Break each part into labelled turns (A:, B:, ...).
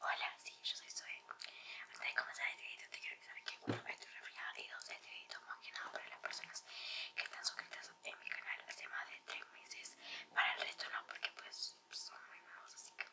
A: Hola, sí, yo soy Zoe. Antes de comenzar este video te quiero avisar que esto me estoy refriada y dos este video más que nada para las personas que están suscritas en mi canal hace más de 3 meses. Para el resto no, porque pues son muy nuevos, así que...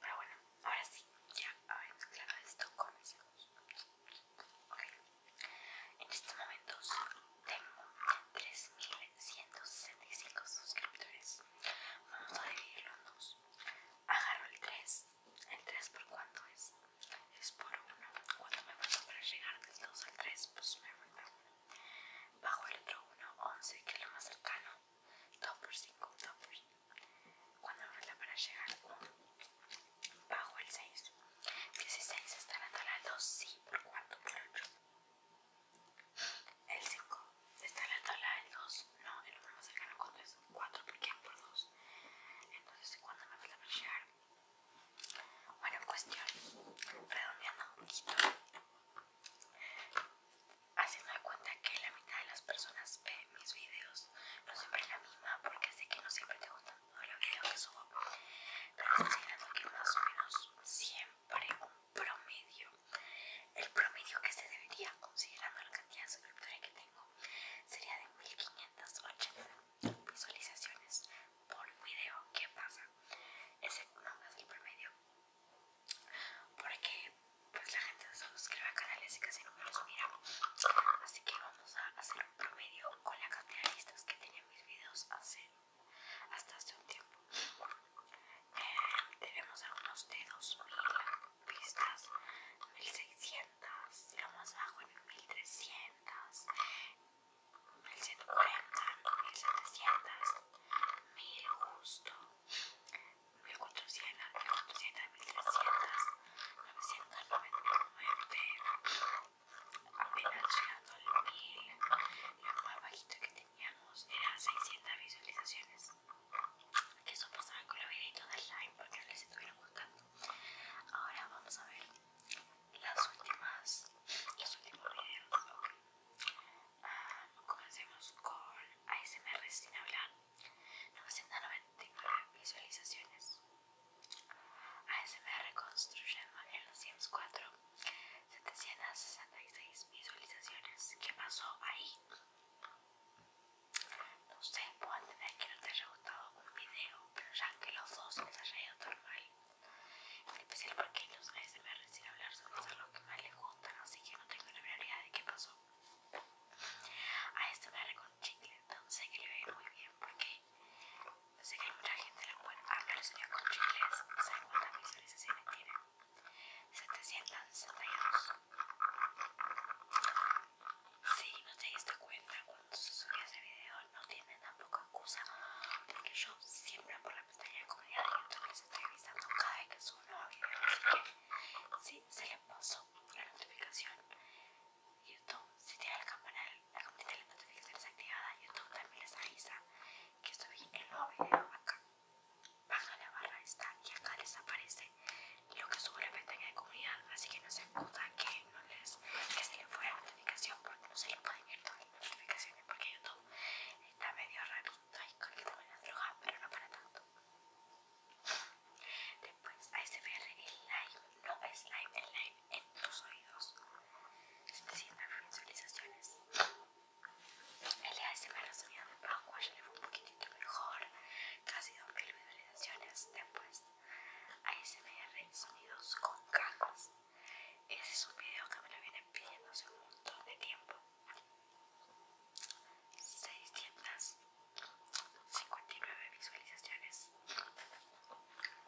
A: Pero bueno, ahora sí, ya habéis claro esto, comencemos. Ok, en estos momentos tengo 3.165 suscriptores. Vamos a dividirlo los dos. Agarro el 3. ¿El 3 por cuánto es? Es por 1. ¿Cuánto me falta para llegar del 2 al 3? Pues me falta 1. Bajo el otro 1, 11, que es lo más cercano. 2 por 5, 2 por 5. ¿Cuánto me falta para llegar? 1. Bajo el 6. 16 estará hasta al 2, sí, por cuánto, por 8. El 5 está en la tabla del 2. No, el número más cercano cuando es 4 porque es por 2. Entonces, cuando me vas a llegar? Bueno, cuestión. Redondeando un poquito. Haciendo de cuenta que la mitad de las personas ve mis videos. No siempre es la misma porque sé que no siempre te gustan todos los videos que subo. Pero considerando que más o menos siempre promedio el promedio que se debería considerando la cantidad de suscriptores que tengo sería de 1580 visualizaciones por video ¿qué pasa? ese no es el promedio porque pues la gente se suscribe a canales y casi me los mira así que vamos a hacer un promedio con la cantidad de listas que tenía mis videos hace hasta hace un tiempo eh, tenemos algunos de 2000 vistas, 1600, lo más bajo en 1300, 1140, 1700, 1000 justo, 1400, 1400, 1300, 999 apenas llegando al 1000 lo más bajito que teníamos era 600 visualizaciones que eso pasaba con los videitos de live porque no les estuvieron gustando ahora vamos a ver las últimas los últimos videos ah, comencemos con ASMR sin hablar 999 visualizaciones ASMR construyendo en los Sims 4 766 visualizaciones ¿qué pasó ahí? No sé, puedo tener que no te haya gustado un video, pero ya que los dos se han ido tan mal. En especial porque los ASMR sin hablar son los lo que más les gustan, así que no tengo la realidad de qué pasó. A este ASMR con chicle, entonces sé que le va muy bien porque sé que hay mucha gente a la que lo los con chicles, sabe cuántas visualizaciones tienen. 762 si no te diste cuenta cuando se subió ese video no tiene tampoco excusa porque yo siempre por la pestaña de comunidad de YouTube les estoy avisando cada vez que subo un nuevo video así que si se les pasó la notificación Y YouTube si tiene el campanal la campanita de notificaciones activada YouTube también les avisa que subí el nuevo video acá baja la barra esta y acá les aparece lo que sube la en de comunidad así que no se acudan que no les que se les fue la notificación porque no se les pueden ir todas las notificaciones porque YouTube está medio raro y con el tema de las drogas pero no para tanto después ASMR este el live no es live el live en tus oídos 700 visualizaciones el ASMR sonido de ya le fue un poquitito mejor, casi 2000 visualizaciones. Después, ASMR sonidos con cajas Ese es un video que me lo vienen pidiendo hace un montón de tiempo. 659 visualizaciones,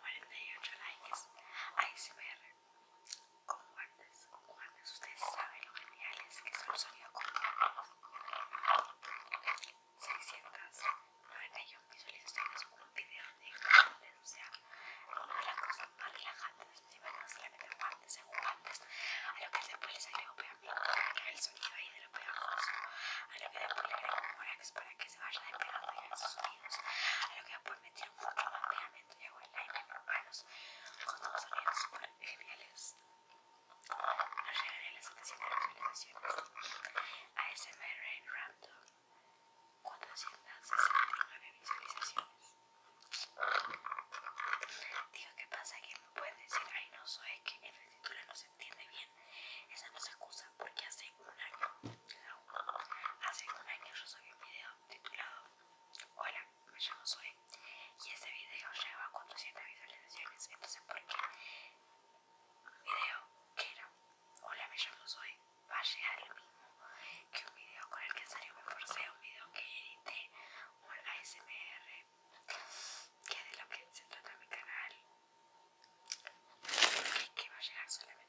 A: 48 likes, ASMR con Ustedes saben lo geniales que son los sonido con guantes. 691 visualizaciones con un video de guantes, o sea, una de las cosas más relajantes de hacer no solamente guantes, en guantes, a lo que después les agrego pegamento para que el sonido ahí de lo pegajoso, a lo que después le agrego borax para que se vaya y a esos sonidos, a lo que después metieron mucho más pegamento y hago el aire en mis manos con unos sonidos súper geniales. Nos las A de ASMR en Raptor 469 visualizaciones. Digo, ¿qué pasa? Que me pueden decir, ay no, soy que el título no se entiende bien. Esa no se acusa porque hace un año, hace un año yo subí un video titulado Hola, me llamo Zoe y este video lleva 400 visualizaciones entonces por qué video que era hola me llamo Zoe va a llegar lo mismo que un video con el que salió me forcé un video que edité un ASMR que es de lo que se trata mi canal y que va a llegar solamente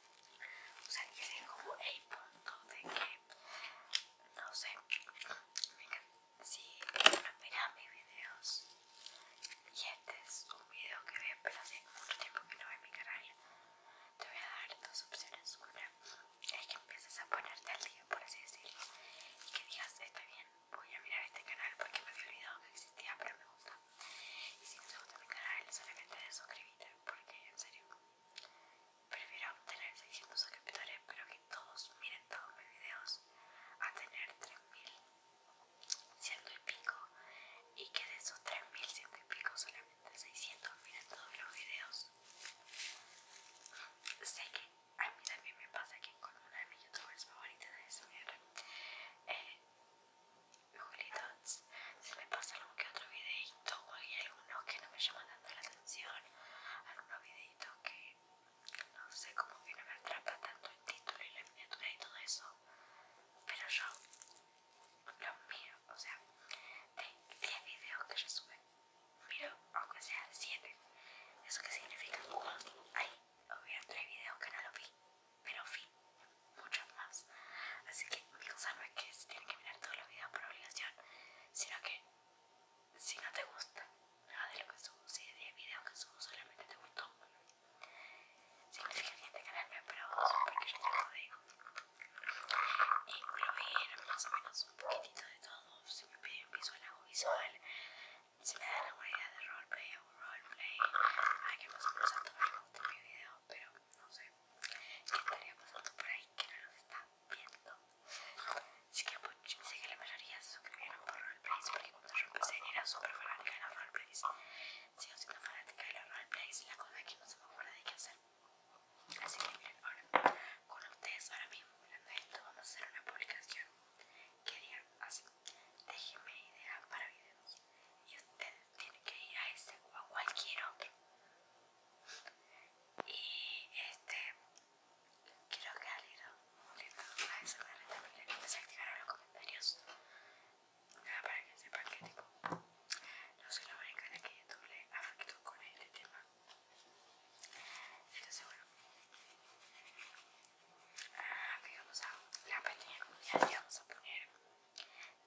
A: o sea, es como el punto de que, no sé, si miras mis videos y este es un video que veo pero hace mucho tiempo que no veo mi canal, te voy a dar dos opciones. Una es que empieces a ponerte al día, por así decirlo, y que digas, está bien, voy a mirar este canal porque me había olvidado que existía, pero me gusta. Y si no te gusta mi canal, solamente suscríbete porque en serio Prefiero obtener 600 suscriptores, pero que todos miren todos mis videos, a tener 3000 ciento y pico, y que de esos 3000 ciento y pico solamente 600 miren todos los videos. Sé que a mí también me pasa que con una de mis youtubers favoritas de SMR, eh, si me pasa algún que otro videito o hay algunos que no me llaman tanto la atención, algunos videitos que no sé cómo que no me atrapa tanto el título y la miniatura y todo eso, pero yo los miro, o sea, de 10 videos que yo sube, miro aunque sea 7, eso que significa hay había 3 videos que no los vi, pero vi muchos más, así que cosa no es que se tiene que mirar todos los videos por obligación, sino que si no te gusta nada de lo que subo, si de 10 videos que subo solamente te gustó, significa que este canal no es para vos, porque yo lo digo incluir más o menos un poquitito de todo, si me piden visual hago visual, si me dan alguna idea de roleplay hago roleplay, hay que más o menos a todos les gusta mi video, pero no sé qué estaría pasando por ahí que no nos está viendo. Así que pues, sé que la mayoría se suscribieron por roleplays porque cuando yo empecé era súper fanática de los roleplays. Sigo siendo fanática de los y la cosa es que no se me acuerda de qué hacer. Así que miren, ahora con ustedes ahora mismo mirando esto vamos a hacer una publicación que haría así, déjeme idea para videos y ustedes tiene que ir a este, o a cualquier otro. Y este, quiero que al muy moviendo a ah, esa manera también desactivaron los comentarios. para que sepan que tipo, no soy la única en que YouTube le afectó con este tema. Entonces bueno, ah, aquí vamos a la pestaña y vamos a poner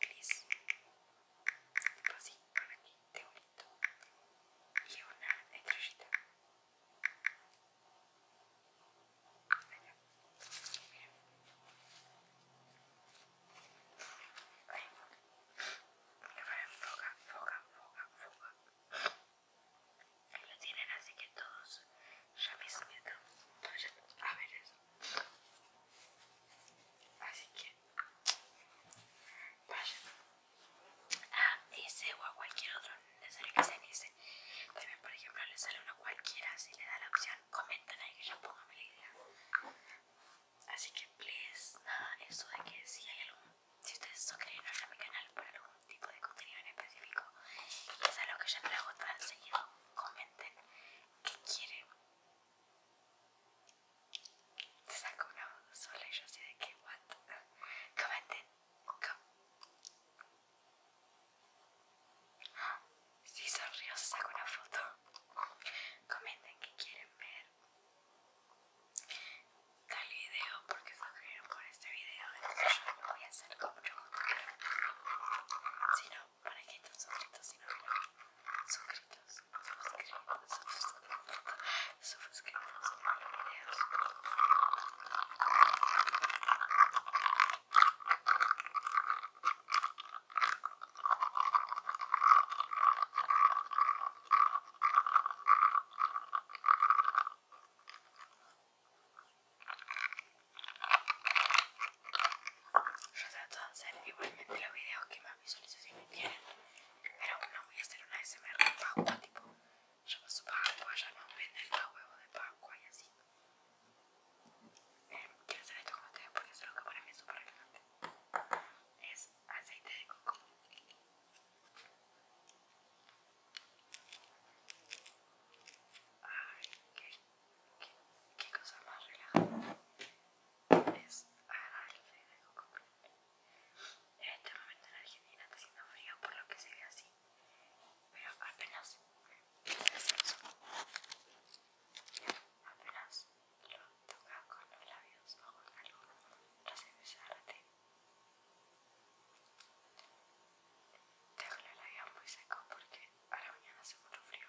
A: gris así con aquí de bonito y una estrellita Venga, Mira. Ahí. Foca, foca, foca, foca. Ahí lo tienen así que todos ya me Entonces, a ver eso. Así que vaya a ah, ese o a cualquier otro necesario que se en ese también por ejemplo le sale uno cualquiera si le da la opción comenten ahí que yo ponga mi idea así que please nada eso de que si hay algún si ustedes suscriben a mi canal por algún tipo de contenido en específico es algo que yo hago tan enseguida, comenten qué quieren se sacó una foto sola y yo así de qué what? Comenten. si sonrió, se sacó una foto. Comenten que quieren ver tal video porque suscribieron con este video. Entonces yo no voy a hacer como yo, sino Si no, para que están suscritos si no suscritos, suscritos, suscritos, suscritos suscríbete, suscríbete, Yo trato de videos que más pero no voy a hacer una SMR de Paco, tipo, pasó Paco, ya no venden el huevo de Paco, y así. Em, quiero hacer esto con ustedes porque es lo que para mí es súper relevante. Es aceite de coco. Ay, qué, qué, cosa más relajante es aceite de coco. En este momento en Argentina está haciendo frío por lo que se ve así, pero apenas apenas lo toca con los labios o la algo, lo la te Dejo los labios muy secos porque a la mañana hace mucho frío.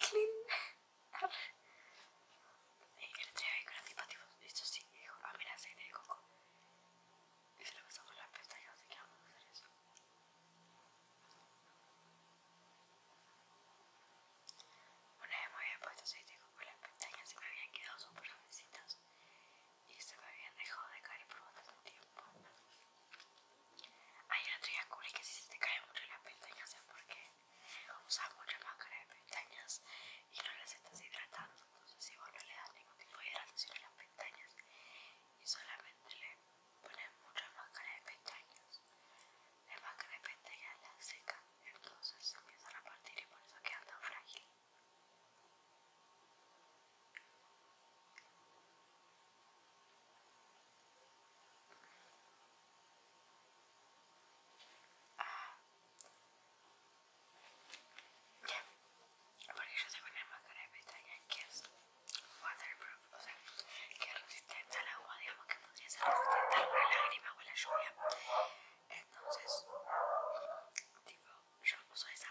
A: Clinar. Eh, el que día vi con antipativos, esto sí, y dijo, ah mira, aceite de coco. Y la pestaña, así que hacer eso. Una vez me había puesto tengo que las pestañas y me habían quedado súper suavecitas y se me habían dejado de caer por bastante tiempo. Hay una teoría cool que si se te caen mucho las pestañas es porque usas mucha máscara de pestañas y no las estás hidratando. Entonces, si vos no le das ningún tipo de hidratación a las pestañas y solamente le pones mucha máscara de pestañas, la máscara de pestañas la secas entonces empieza a partir y por eso queda tan frágil ah. porque yo tengo una máscara de pestañas que es waterproof o sea que es resistente al agua digamos que podría ser resistente a la lágrima o a la lluvia entonces, tipo, yo uso esa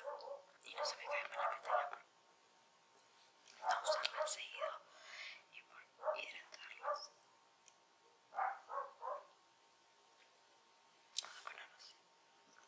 A: y no se me cae por la pestaña por no usarla seguido y por hidratarlas. Vamos a ponernos. Bueno,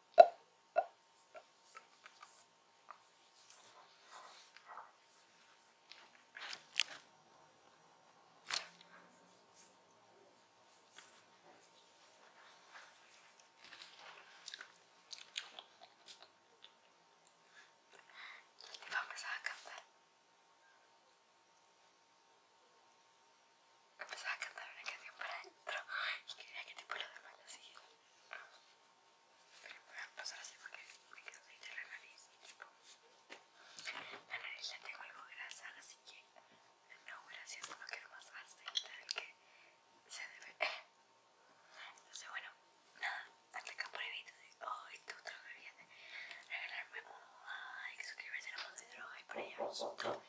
A: Vamos começar a cantar. Empezaba a cantar una canción para adentro y quería que tipo los Voy a pasar así porque me quedo la nariz. La nariz ya tengo algo grasa, así que no, gracias, no quiero más aceite que se debe. Entonces, bueno, nada, hasta acá por Hoy regalarme un like, suscribirse a la de por ahí Y lo vemos pronto.